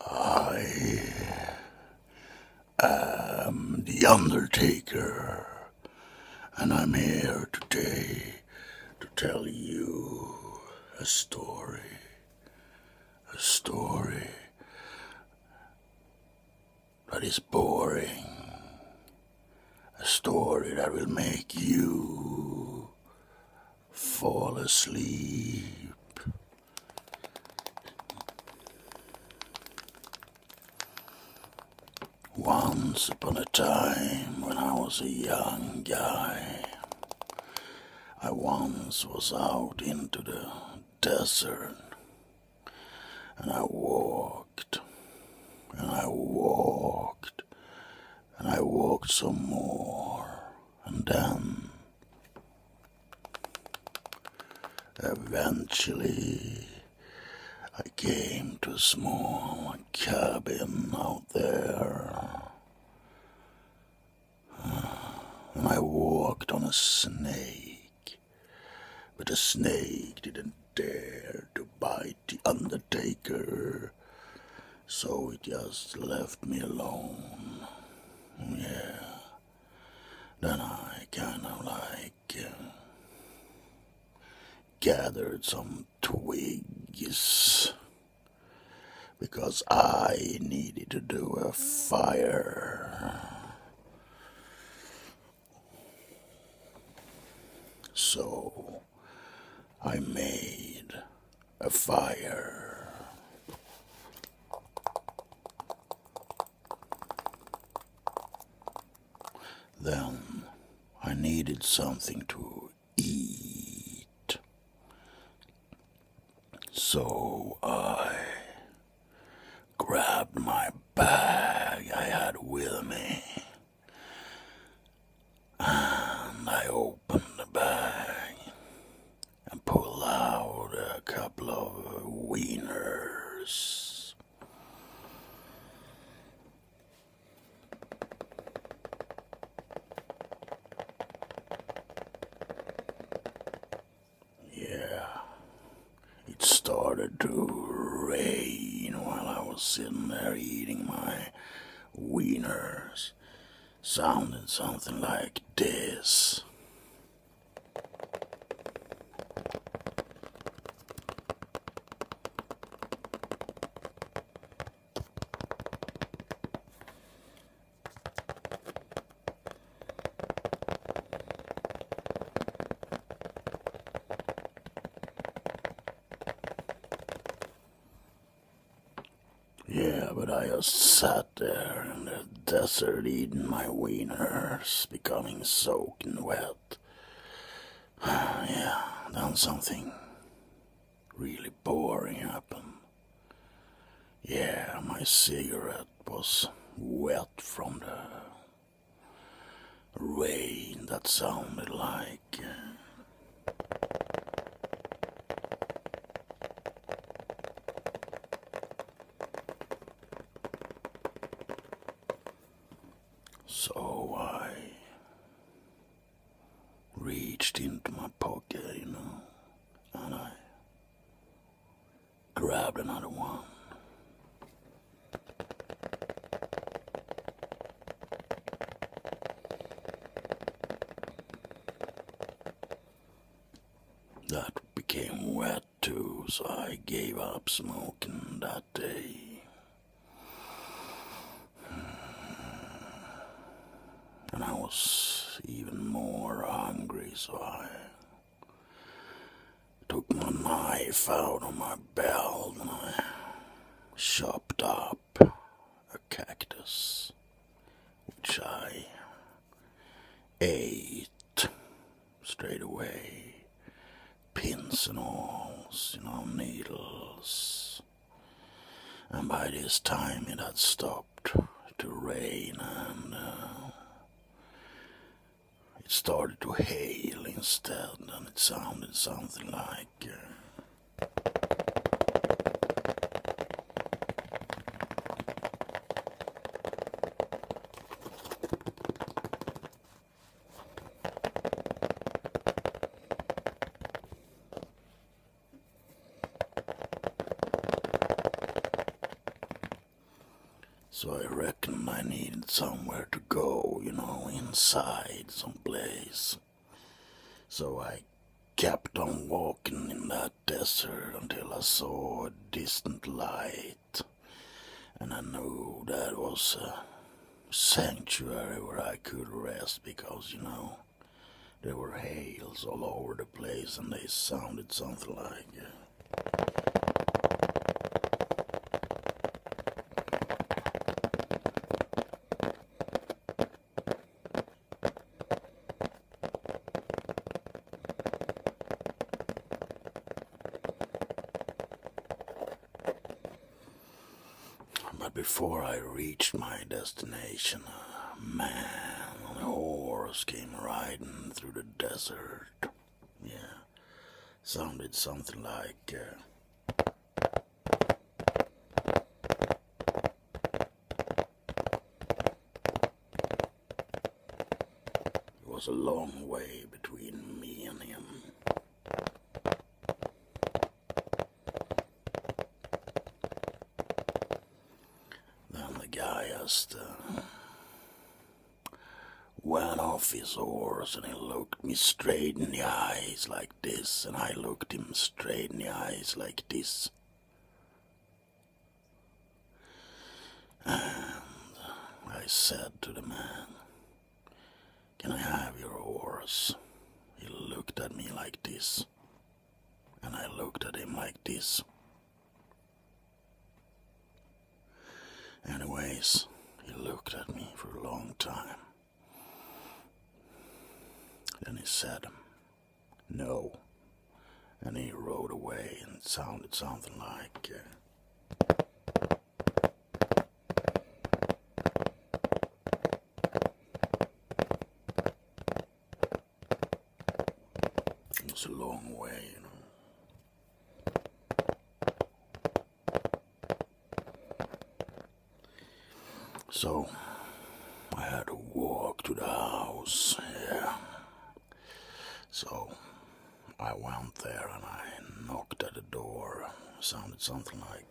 I am the Undertaker, and I'm here today to tell you a story. A story that is boring. A story that will make you fall asleep. Once upon a time, when I was a young guy, I once was out into the desert and I walked and I walked and I walked some more, and then eventually I came to a small cabin out there. I walked on a snake, but the snake didn't dare to bite the undertaker. So he just left me alone. Yeah. Then I kind of like uh, gathered some twigs because I needed to do a fire. So I made a fire. Then I needed something to eat. So I grabbed my bag I had with me and I open the bag and pull out a couple of wieners. Yeah, it started to rain while I was sitting there eating my wieners sounding something like this. Yeah, but I just sat there in the desert eating my wieners, becoming soaked and wet. yeah, done something really boring happened. Yeah, my cigarette was wet from the rain that sounded like. Uh, so I reached into my pocket, you know, and I grabbed another one. That became wet too, so I gave up smoking that day. And I was even more hungry, so I took my knife out of my belt and I chopped up a cactus, which I ate straight away. Pins and awls, you know, needles. And by this time it had stopped to rain and uh, it started to hail instead, and it sounded something like. Uh, so I reckon I needed somewhere to go, you know, inside someplace. So I kept on walking in that desert until I saw a distant light. And I knew that was a sanctuary where I could rest because, you know, there were hails all over the place and they sounded something like. Uh, but before I reached my destination, a man on a horse came riding through the desert. Yeah sounded something like. Uh, it was a long way between me and him. Then the guy asked. Uh, went off his horse and he looked me straight in the eyes like this, and I looked him straight in the eyes like this. And I said to the man, Can I have your horse? He looked at me like this, and I looked at him like this. Anyways, he looked at me for a long time. Then he said, No. And he rode away and it sounded something like. Uh, it's a long way, you know. So I had to walk to the house. Yeah. So I went there and I knocked at the door. Sounded something like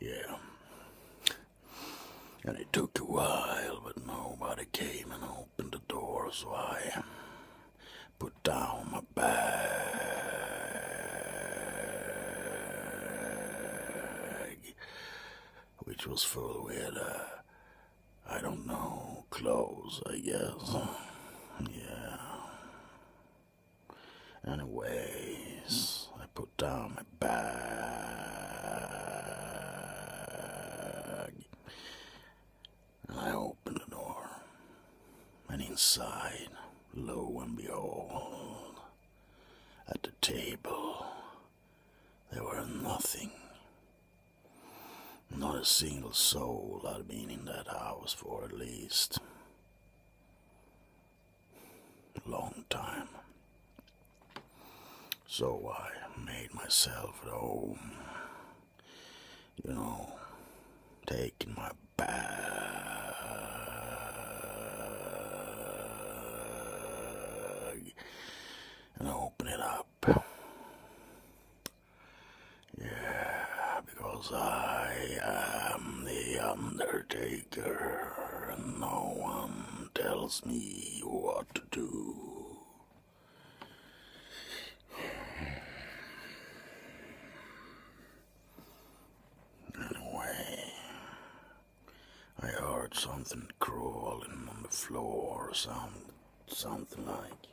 yeah. And it took a while, but nobody came and opened the door, so I put down my bag, which was full with, uh, I don't know, clothes, I guess. Yeah. Anyways, I put down my bag and I opened the door. And inside, lo and behold, at the table, there were nothing. Not a single soul i had been in that house for at least Long time. So I made myself at home. You know, taking my bag and open it up. Yeah, because I am the Undertaker and no one tells me what to do. Anyway, I heard something crawling on the floor, some, something like.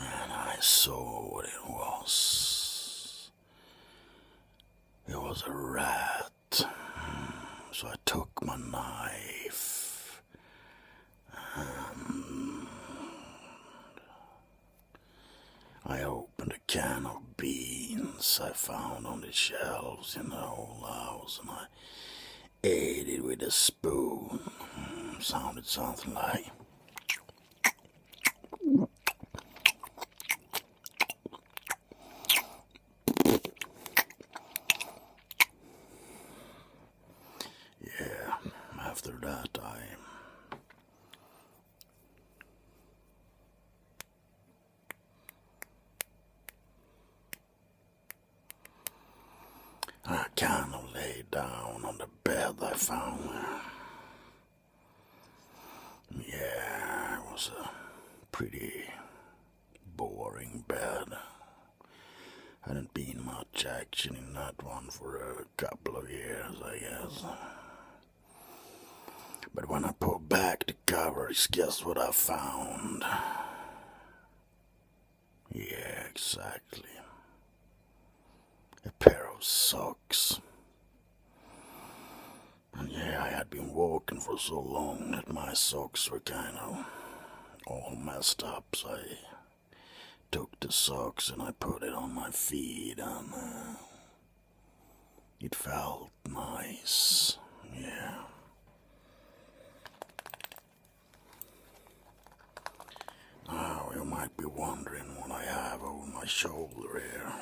And I saw what it was. It was a rat so I took my knife and I opened a can of beans I found on the shelves in the old house and I ate it with a spoon. Sounded something like. Yeah, after that I I kind of lay down on the bed I found. Yeah, it was a pretty boring bed. Hadn't been much action in that one for a couple of years, I guess. But when I pulled back the covers, guess what I found? Yeah, exactly. A pair of socks. And yeah, I had been walking for so long that my socks were kinda all messed up, so I took the socks and I put it on my feet, and uh, it felt nice. Yeah. Now you might be wondering what I have over my shoulder here.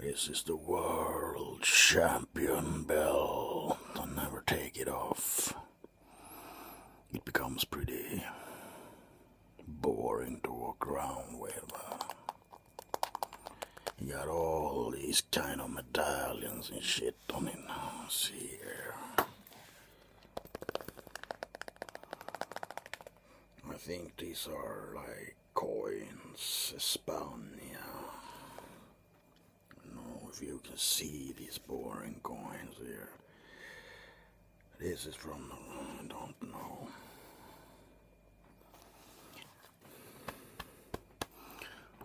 This is the world champion bell. I'll never take it off. It becomes pretty boring to walk around with. You got all these kind of medallions and shit on it now. See here. I think these are like Coins, Espana. I know if you can see these boring coins here. This is from I don't know.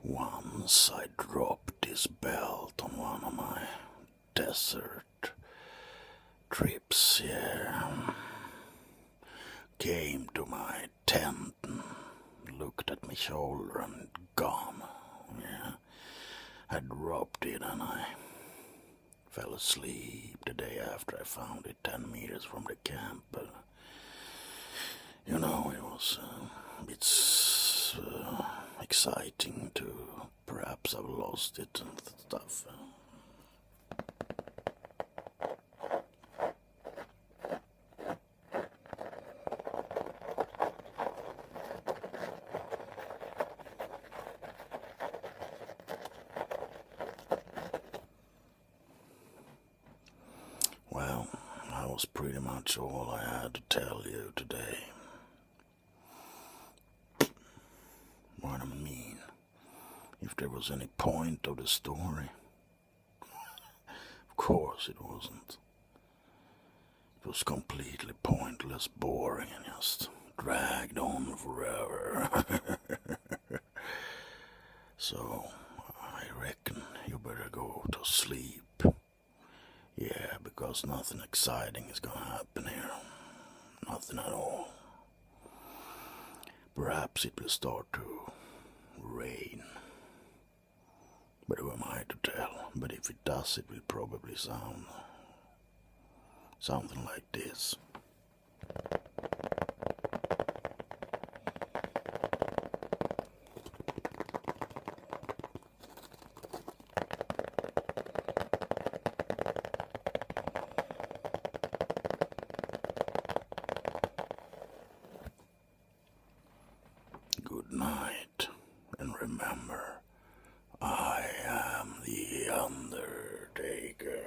Once I dropped this belt on one of my desert trips here came to my tent and looked at my shoulder and gone. Yeah. I dropped it and I fell asleep the day after I found it 10 meters from the camp. you know, it was a uh, bit uh, exciting to perhaps have lost it and stuff. Well, that was pretty much all I had to tell you today. What I mean if there was any point of the story. of course it wasn't. It was completely pointless, boring, and just dragged on forever. so, I reckon you better go to sleep. Yeah, because nothing exciting is gonna happen. Nothing at all. Perhaps it will start to rain. But who am I to tell? But if it does, it will probably sound something like this. Good night, and remember, I am the Undertaker.